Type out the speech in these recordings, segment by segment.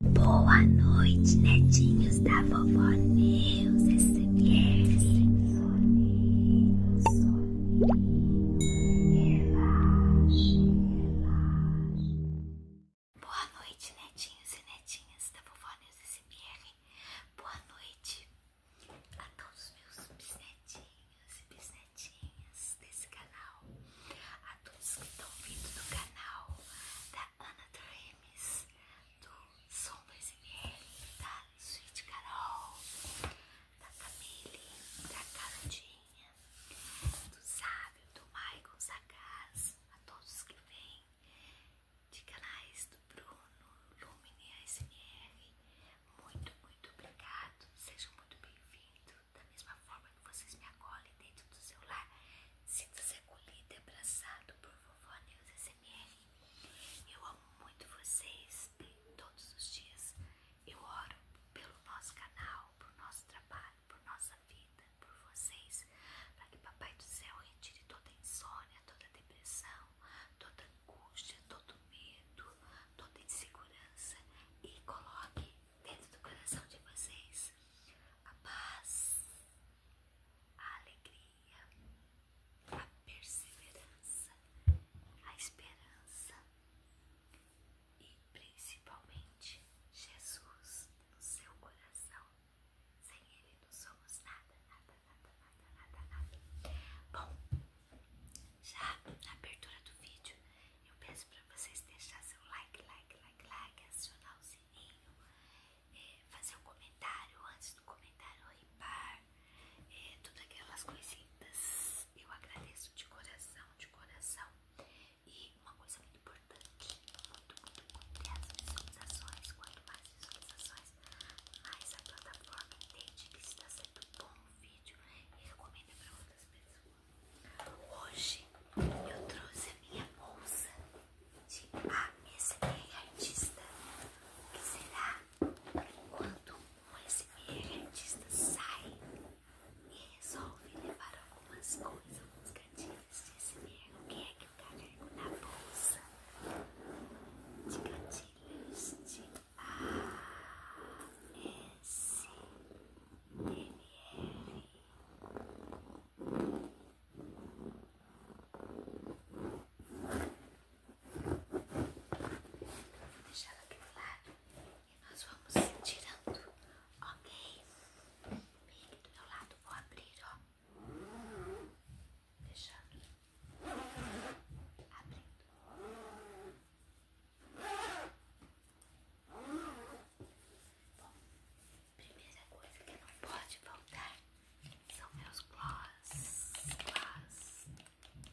Boa noite, netinhos da vovó Neus SMR. Relaxe, relaxe. Boa noite, netinhos e netinhas da vovó Neus SMR. Boa noite a todos os meus bisnetinhos e bisnetinhas desse canal a todos que estão vindo do canal da Ana Dreams, do Som 2 da Sweet Carol, da Camille, da Carolzinha, do Sábio, do Maicon Sagaz, a todos que vêm de canais do Bruno, Lumine ASMR, muito, muito obrigado, sejam muito bem-vindos da mesma forma que vocês me acolhem dentro do seu lar, sinta-se acolhido e abraçado por vovó Neus SMR. Eu amo muito vocês todos os dias. Eu oro pelo nosso canal, por nosso trabalho, por nossa vida, por vocês, para que Papai do Céu retire toda insônia, toda depressão, toda angústia, todo medo, toda insegurança e coloque dentro do coração de vocês a paz, a alegria, a perseverança, a esperança e principalmente Jesus no seu coração. Sem Ele não somos nada, nada, nada, nada, nada, nada. Bom, já na abertura do vídeo eu peço para vocês deixar seu like, like, like, like, acionar o sininho, é, fazer um comentário antes do comentário limpar é, todas aquelas coisinhas. Eu agradeço de coração, de coração. E uma coisa muito importante, muito, muito importante, é as visualizações. Quanto mais visualizações, mais a plataforma entende que está sendo bom o vídeo e recomenda para outras pessoas. Hoje eu trouxe a minha bolsa de ASMR artista, que será quando um ASMR artista sai e resolve levar algumas coisas, alguns gatilhos de ASMR, o que é que carrego tá, né, na bolsa de gatilhos de ASMR. Deixar aqui aquele lado e nós vamos tirando, ok? Bem aqui do meu lado, vou abrir, ó. Deixando. Abrindo. Bom, primeira coisa que não pode faltar são meus gloss, gloss,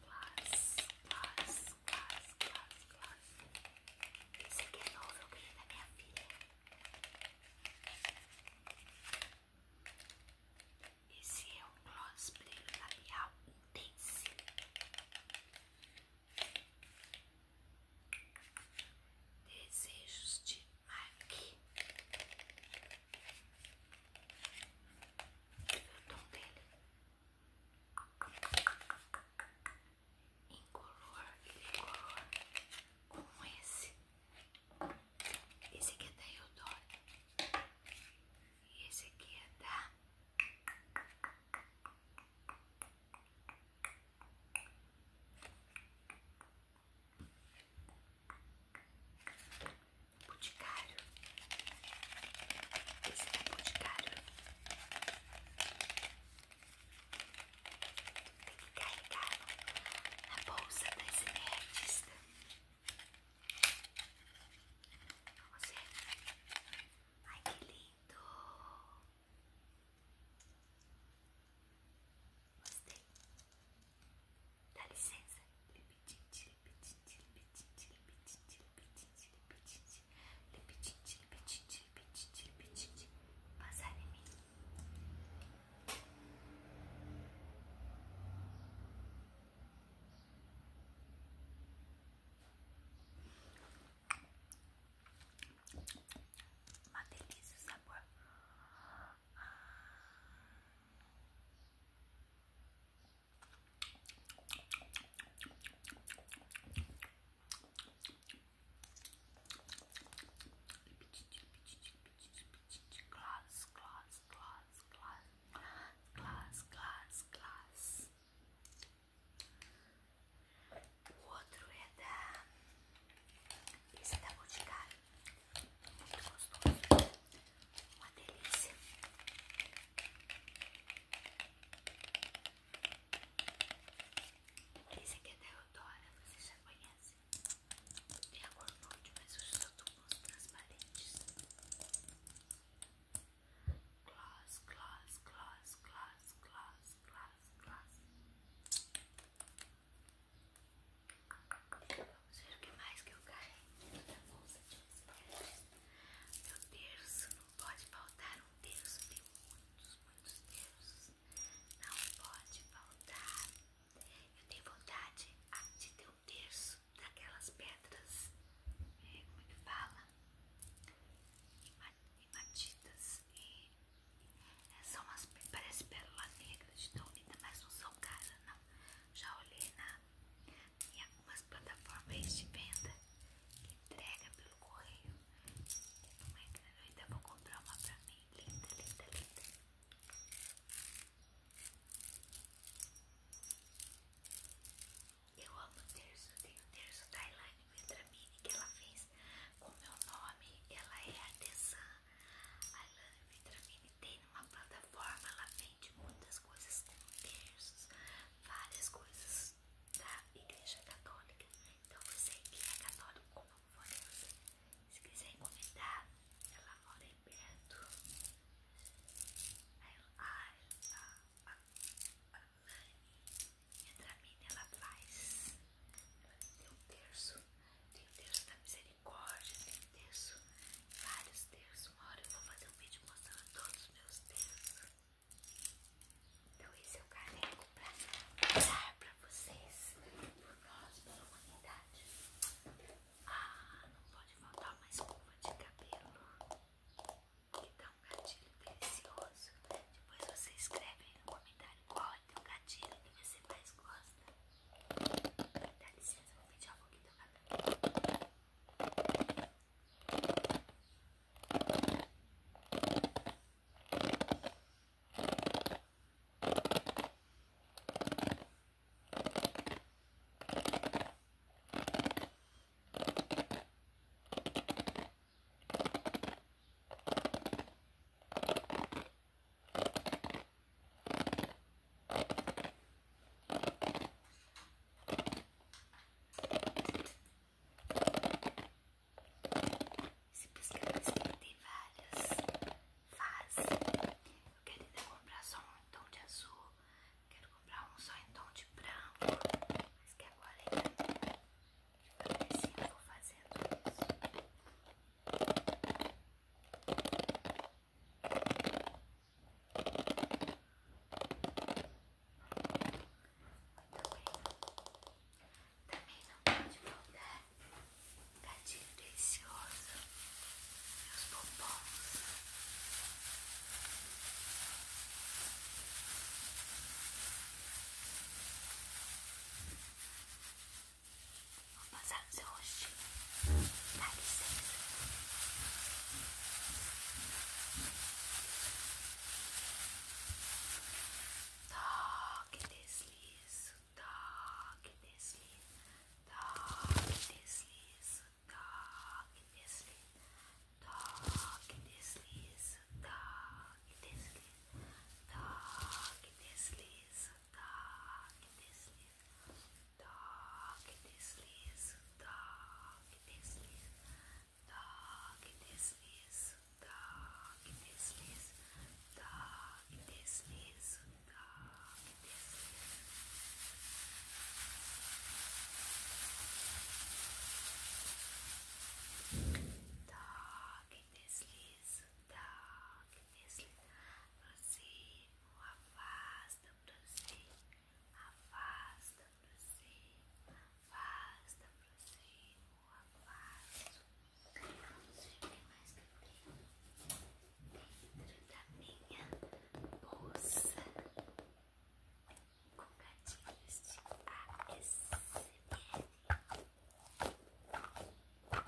gloss, gloss, gloss, gloss, gloss. Isso aqui é novo, é eu da minha filha. Esse é um gloss brilho labial intenso. Desejos de Mark. O tom dele. Em Incolor e cor. como esse. Esse aqui é da Eudora. E esse aqui é da Boticário, esse é boticário. Tem que carregar na bolsa das SMR ai que lindo! Gostei. Dá licença. Lipitite, lipitite, lipitite, lipitite, lipitite, lipitite, lipitite, lipitite, lipitite, lipitite. Passar em mim. Uma delícia o sabor. Glass, glass, glass, glass, glass, glass, glass. O outro é da. Esse é da Boticário. Muito gostoso. Uma delícia. Esse aqui é da Eudora, vocês já conhecem. de a cor mas os só tubos transparentes gloss, gloss, gloss, gloss, gloss, gloss, gloss. Vamos ver o que mais que eu ganhei da bolsa de esferas. Meu terço, não pode faltar um terço, tem muitos, muitos terços. Não pode faltar. Eu tenho vontade ah, de ter um terço daquelas pedras, é, como é que fala? hematitas e é, são umas parece pérola negra de tão mas não são caras não. Já olhei na em algumas plataformas de venda que entrega pelo correio. Não é grande, eu ainda vou comprar uma pra mim, linda, linda, linda. Eu amo terço, tem o terço da Elaine Vendramini que ela fez com meu nome, ela é artesã. A Elaine Vendramini tem uma plataforma, ela vende muitas coisas com terços, várias coisas da Igreja Católica. Então você que é católico como eu você, se quiser encomendar, ela mora aí perto. A, a, a minha Dramina, ela faz. Tem um terço, tem um terço da misericórdia, tem um terço, vários terços. Uma hora eu vou fazer um vídeo mostrando todos os meus terços. Então, esse eu é carrego pra dar pra vocês, por nós, pela humanidade. Ah, não pode faltar uma escova de cabelo que então, dá um gatilho delicioso. Né? Depois você escreve aí no comentário qual é teu gatilho que você mais gosta. Dá licença, vou fechar um pouquinho esse pescador tem várias fases. Eu quero ainda comprar só um em tom de azul. Quero comprar um só em tom de branco. Mas que agora ainda é assim eu vou fazendo isso. Muito bem. Também não pode faltar gatinho delicioso meus os Vou passar no seu rostinho. Dá licença. Toque, deslizo. Toque, deslizo. Toque, deslizo. Toque, deslizo. dog desliza, dog desliza, dog desliza, dog desliza, dog desliza, dog desliza, dog desliza, dog desliza, dog desliza, dog desliza. Darkness lies, darkness lies. Você o afasta pra afasta pra afasta pra você, o Não sei o mais que eu dentro da minha bolsa. com gatilhos de ASMR. Não olhe para o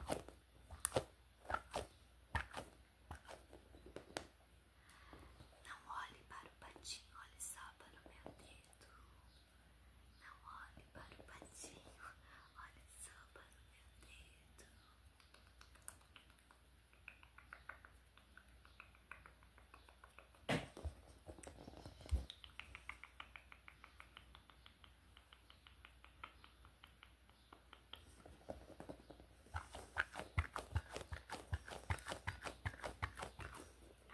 patinho, olhe só para o meu dedo. Não olhe para o patinho, olhe só para o meu dedo.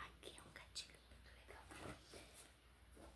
Aqui é um gatilho muito legal. Ah,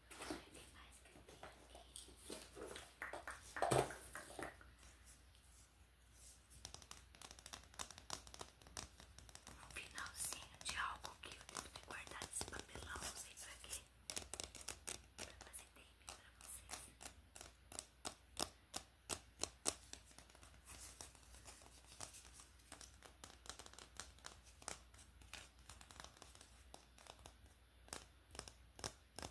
Um finalzinho de algo que eu devo ter guardado esse papelão, não sei pra quê. Pra fazer tape pra vocês.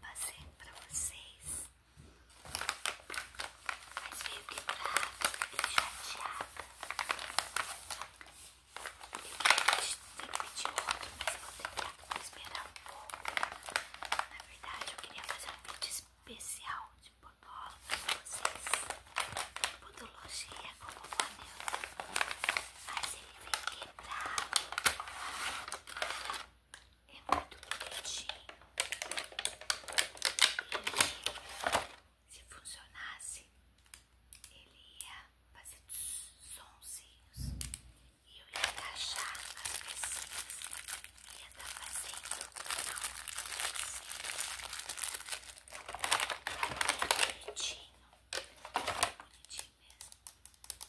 fazer pra vocês. Mas veio quebrada e chateada. Eu tenho que pedir outro, mas eu vou tentar esperar um pouco. Na verdade, eu queria fazer um vídeo especial de podóloga pra vocês. Podologia com o Mas ele vem quebrado. É muito bonitinho. se funcionasse, ele ia fazer sonzinhos e eu ia encaixar as pecinhas. Ia estar tá fazendo não. É muito bonitinho. É muito bonitinho mesmo.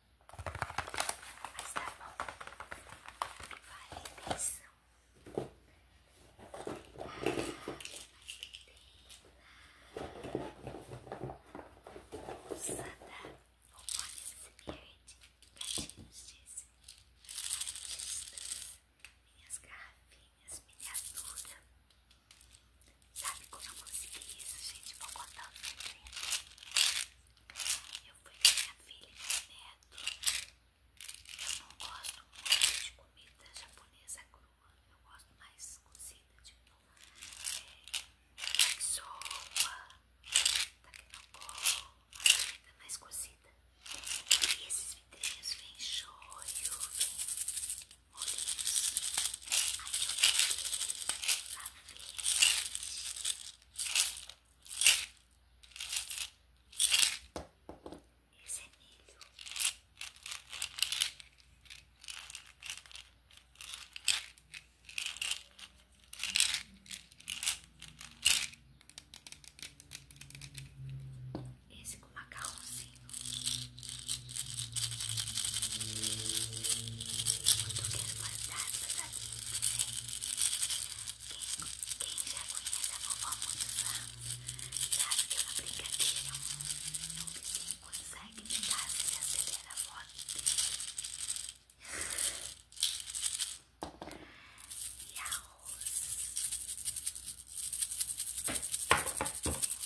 Mas tá bom. Vale atenção. Sada, o Morning Spirit, gatinhos dizem, artistas, minhas garrafinhas, miniatura. Sabe como eu consegui isso, gente? Vou contar o segredo. Eu fui com minha filha e meu neto. Eu não gosto muito de comida japonesa crua. Eu gosto mais cozida, tipo é, sopa, takenoko, comida mais cozida. E esses vidrinhos vem shoyu, vem esse é milho. Esse com macarrãozinho. Quem já conhece a vovó há muitos anos sabe que ela brincadeira é um bichinho consegue tentar se acelerar a voz e arroz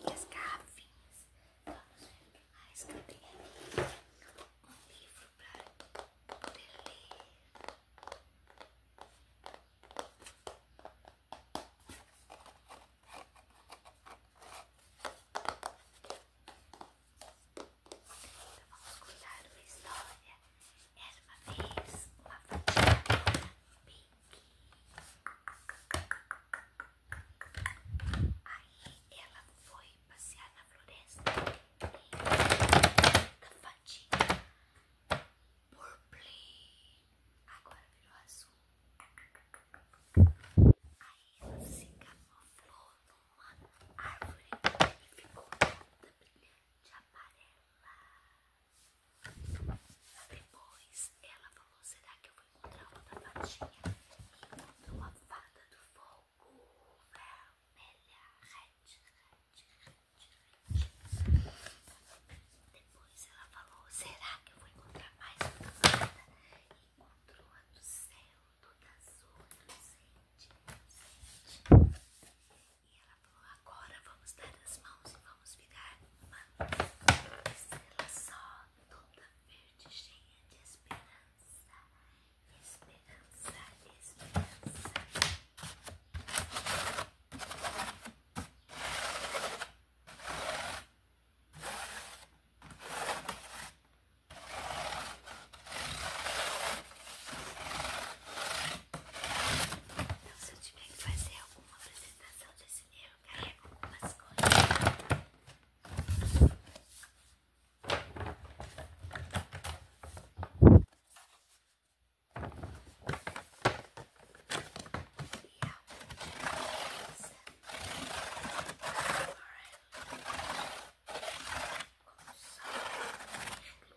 E as garrafinhas, vamos ver mais ah, que um livro para ler. vamos contar uma história era uma vez uma vampira pink. Aí ela foi passear na floresta e da por purple. Agora virou azul. Aí ela se camuflou numa árvore e ficou toda brilhante amarela. Depois ela falou: será que eu vou encontrar outra fadinha? encontrou a fada do fogo vermelha, red, red, red, red. Depois ela falou: será que eu vou encontrar mais uma fada? encontrou a do céu, toda azul, do sente, do e ela falou: agora vamos dar as mãos e vamos virar uma estrela só, toda verde, cheia de esperança. Esperança, esperança. Então, se eu tiver que fazer alguma apresentação desse dinheiro, eu carrego algumas coisas. E a coisa com sol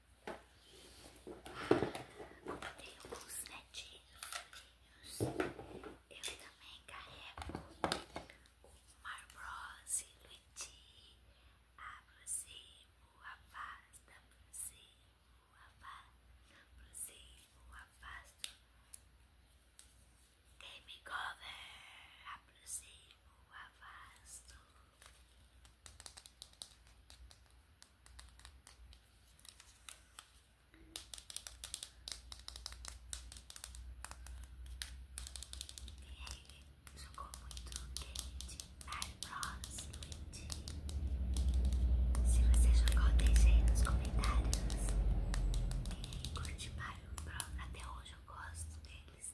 Comprei alguns netinhos. Eu também carrego o Marbrose, Luigi, aproximo a pasta, aproximo a pasta, aproximo afasta Game cover, aproximo o avasto. Ele jogou muito Candy, Mario Bros, Luigi. Se você jogou, deixe aí nos comentários. Quem curte Mario Bros, até hoje eu gosto deles.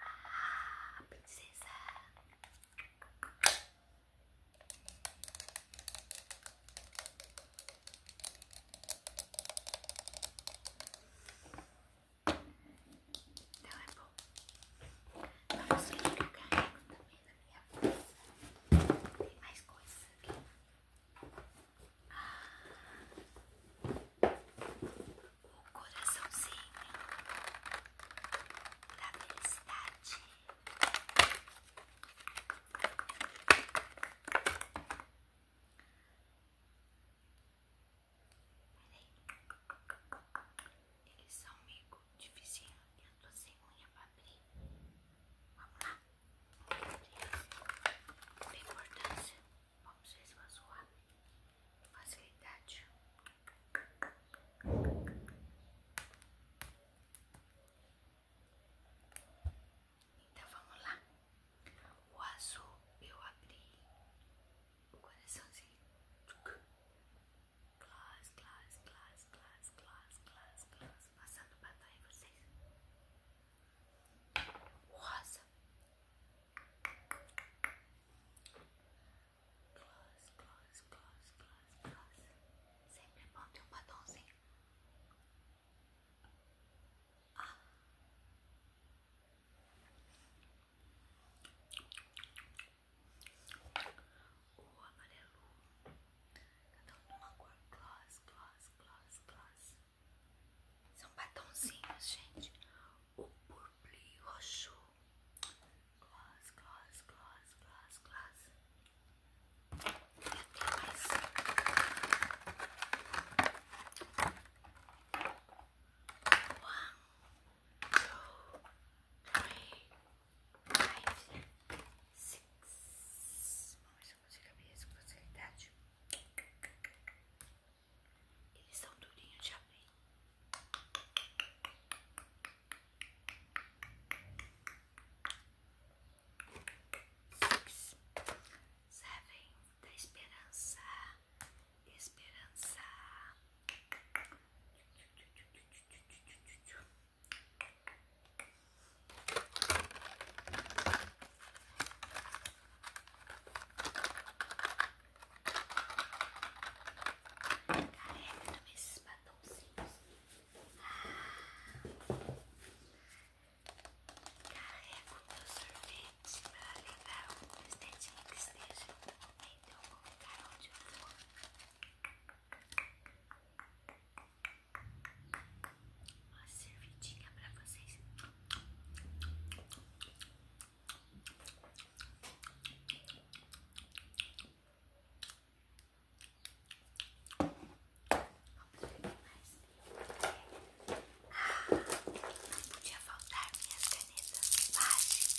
Ah, princesa. Então é bom. Vamos ver que eu também na minha bolsa. Tem mais coisas aqui. Ah o coraçãozinho da felicidade. Eles são meio difícil. Eu tô sem unha pra abrir. Vamos lá. Tem importância. Vamos ver se vai zoar facilidade. Então vamos lá. O azul eu abri o coraçãozinho. Glass, glass, glass, glass, glass, glass, glass. Passando batom em vocês. O rosa é tá gloss, gloss, gloss, gloss, gloss. Sempre bom ter um batonzinho. Ah. O amarelo. Cada um uma cor. Gloss, gloss, gloss, gloss. São batonzinhos, gente. O purple roxo. Gloss, gloss, gloss, gloss, gloss. Eu tenho mais. One, two, three, five, six. Vamos ver se eu consigo abrir isso com eles são durinhos de abrir. Six. da esperança. Esperança. Careca também esses batonzinhos. carrega Carrego meu sorvete pra levar o presentinho que esteja entre um lugar onde eu vou. Uma servidinha pra vocês. Ah, não podia faltar minhas canetas mágicas.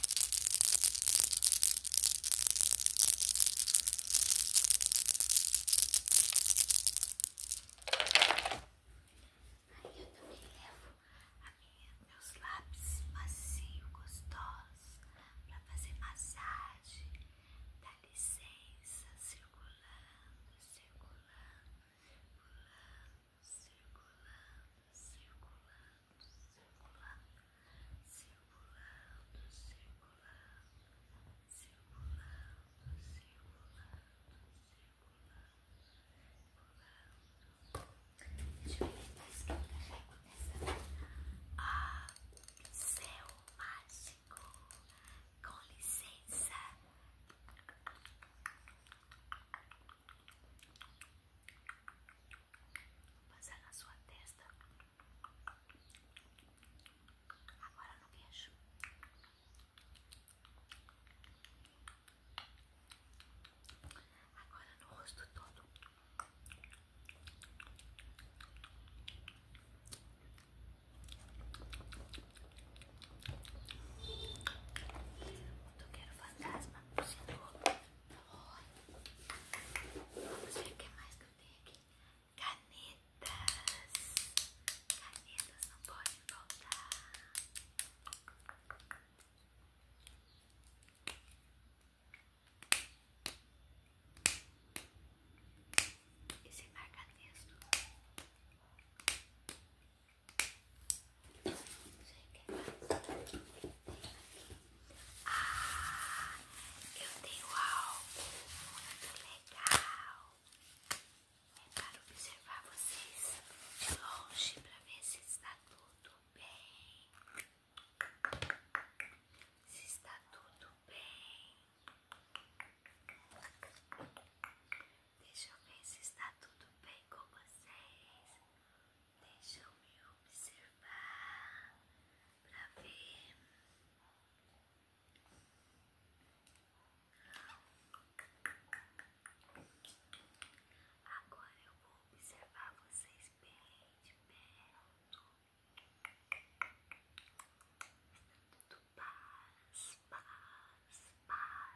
Aí eu também levo a minha, meus lápis macio, gostosos, para fazer massagem. Dá licença, circulando, circulando, circulando, circulando, circulando circulando, circulando, circulando, circulando, circulando. Deixa eu ver mais que eu carrego nessa. Ah, céu mágico, com licença. Passar na sua testa. Agora no queixo. Agora no rosto todo. Muito quero fantasma, o não sei o que mais que eu tenho aqui. Canetas. Canetas não podem faltar. Esse é marca-texto. Ah, eu tenho algo muito legal. É para observar vocês de longe para ver se está tudo bem. Se está tudo bem. Deixa eu ver se está tudo bem com vocês. Deixa-me eu observar para ver. Agora eu vou observar vocês bem de perto. tudo paz, paz, paz.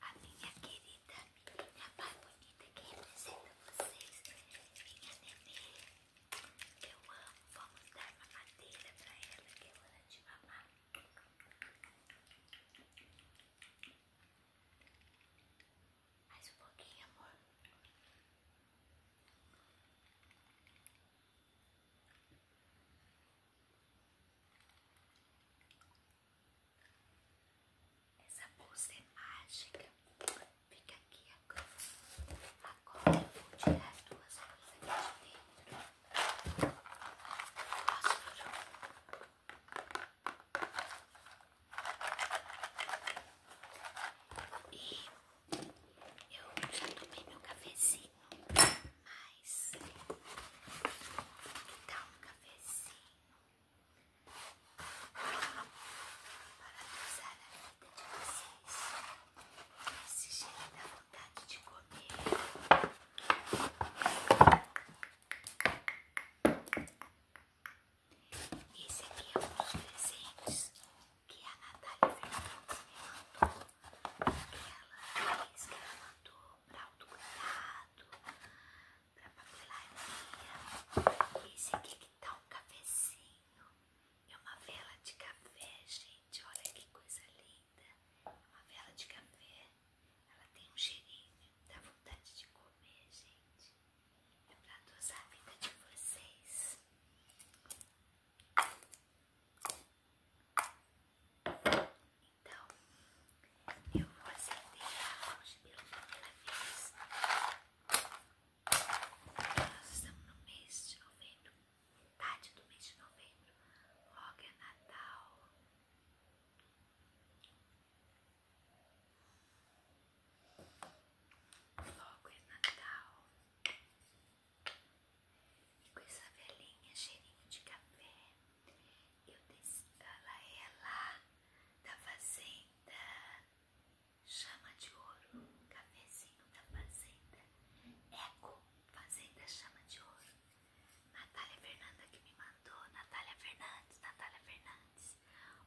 a minha querida menininha mais bonita que representa vocês, minha nenê. Eu amo, vamos dar uma madeira pra ela que é hora de mamar. Mais um pouquinho, amor. Essa bolsa é mágica. Fica aqui agora. Agora eu vou tirar as duas coisas aqui de dentro. E eu já tomei meu cafezinho, mas vou dar um cafezinho para usar a vida de vocês. Esse gelo da vontade de comer. Esse aqui é um dos presentes que a Natália Fernandes me mandou. Que ela fez, que ela mandou para o pra para a papelaria. Esse aqui que tá um cafezinho, é uma vela de café, gente. Olha que coisa linda, é uma vela de café. Ela tem um cheirinho, dá vontade de comer, gente. É para adoçar a vida de vocês. Então, eu vou acender a rocha pela primeira vez. Nós estamos no mês de novembro, metade do mês de novembro. Logo é Natal. Logo é Natal. E com essa velhinha cheirinho de café. Eu desci, ela é da fazenda, chama de ouro, cafezinho da fazenda, eco, fazenda chama de ouro. Natália Fernanda que me mandou, Natália Fernandes, Natália Fernandes.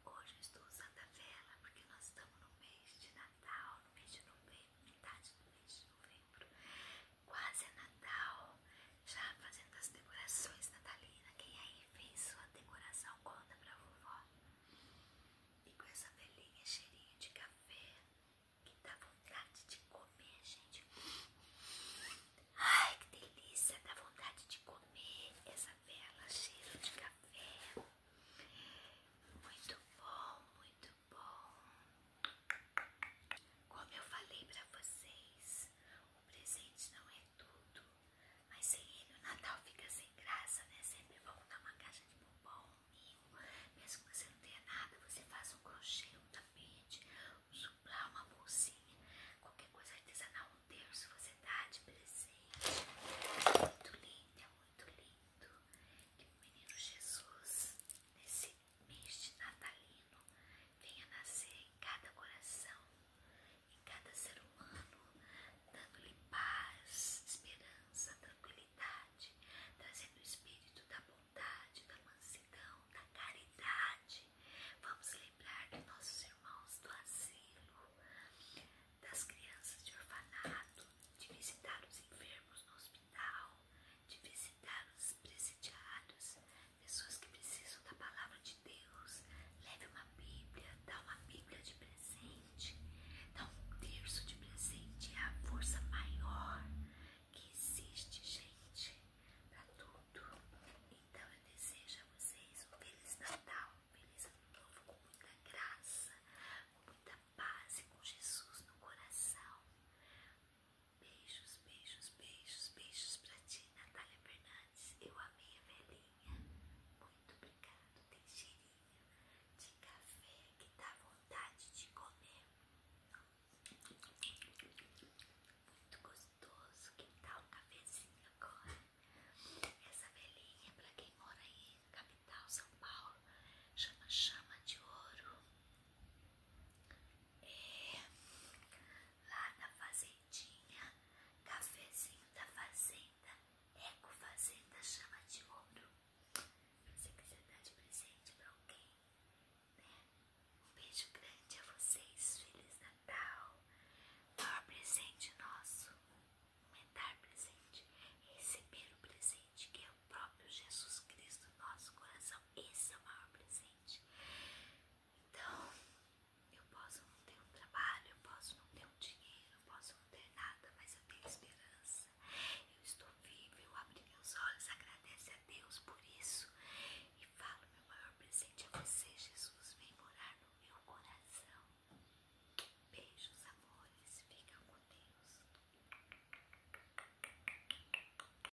Hoje eu estou usando a vela porque nós estamos no mês de Natal, no mês de novembro, metade do mês de novembro. Quase é Natal, já fazendo as decorações natalina. Quem aí fez sua decoração, conta pra vovó. E com essa velhinha cheirinho de café, que dá vontade de comer, gente. Ai, que delícia, dá vontade de comer essa vela cheiro de café. Muito bom, muito bom. Como eu falei pra vocês, presente não é tudo, mas sem ele o Natal fica sem graça, né? Sempre volta uma caixa de bombom, um ninho, mesmo que você não tenha nada, você faz um crochê, um tapete, um suplá, uma bolsinha, qualquer coisa artesanal, um terço você dá de presente. É muito lindo, é muito lindo que o menino Jesus, nesse mês natalino venha nascer em cada coração, em cada ser humano, dando-lhe paz, esperança, tranquilidade, trazendo o espírito da bondade, da mansidão, da caridade. Vamos lembrar dos nossos irmãos do asilo, das crianças de orfanato, de visitar os enfermos no hospital, de visitar os presidiários pessoas que precisam da palavra de Deus. Leve uma Bíblia, dá uma Bíblia de presente, dá um terço de presente. É a força maior que existe, gente, para tudo. Então eu desejo a vocês um Feliz Natal, um Feliz Ano Novo, com muita graça, com muita paz e com Jesus no coração. Beijos, beijos, beijos, beijos pra ti, Natália Fernandes. Eu amei a velhinha. Muito obrigado. Tem cheirinho de café que dá vontade de comer. Muito gostoso. quem tal um cafezinho agora? Essa velhinha, pra quem mora aí na capital, São Paulo, chama chama de ouro. É, lá na fazendinha, cafezinho da fazenda, eco fazenda chama de ouro. Se quiser dar de presente pra alguém, né? Um beijo grande a vocês, Feliz Natal. Maior presente nosso, mudar presente, receber o presente que é o próprio Jesus Cristo, nosso coração. Esse é o maior presente. Então, eu posso não ter um trabalho, eu posso não ter um dinheiro, eu posso não ter nada, mas eu tenho esperança. Eu estou vivo, eu abri meus olhos, agradeço a Deus por isso e falo: meu maior presente é você, Jesus. Vem morar no meu coração. Beijos, amores, fica com Deus.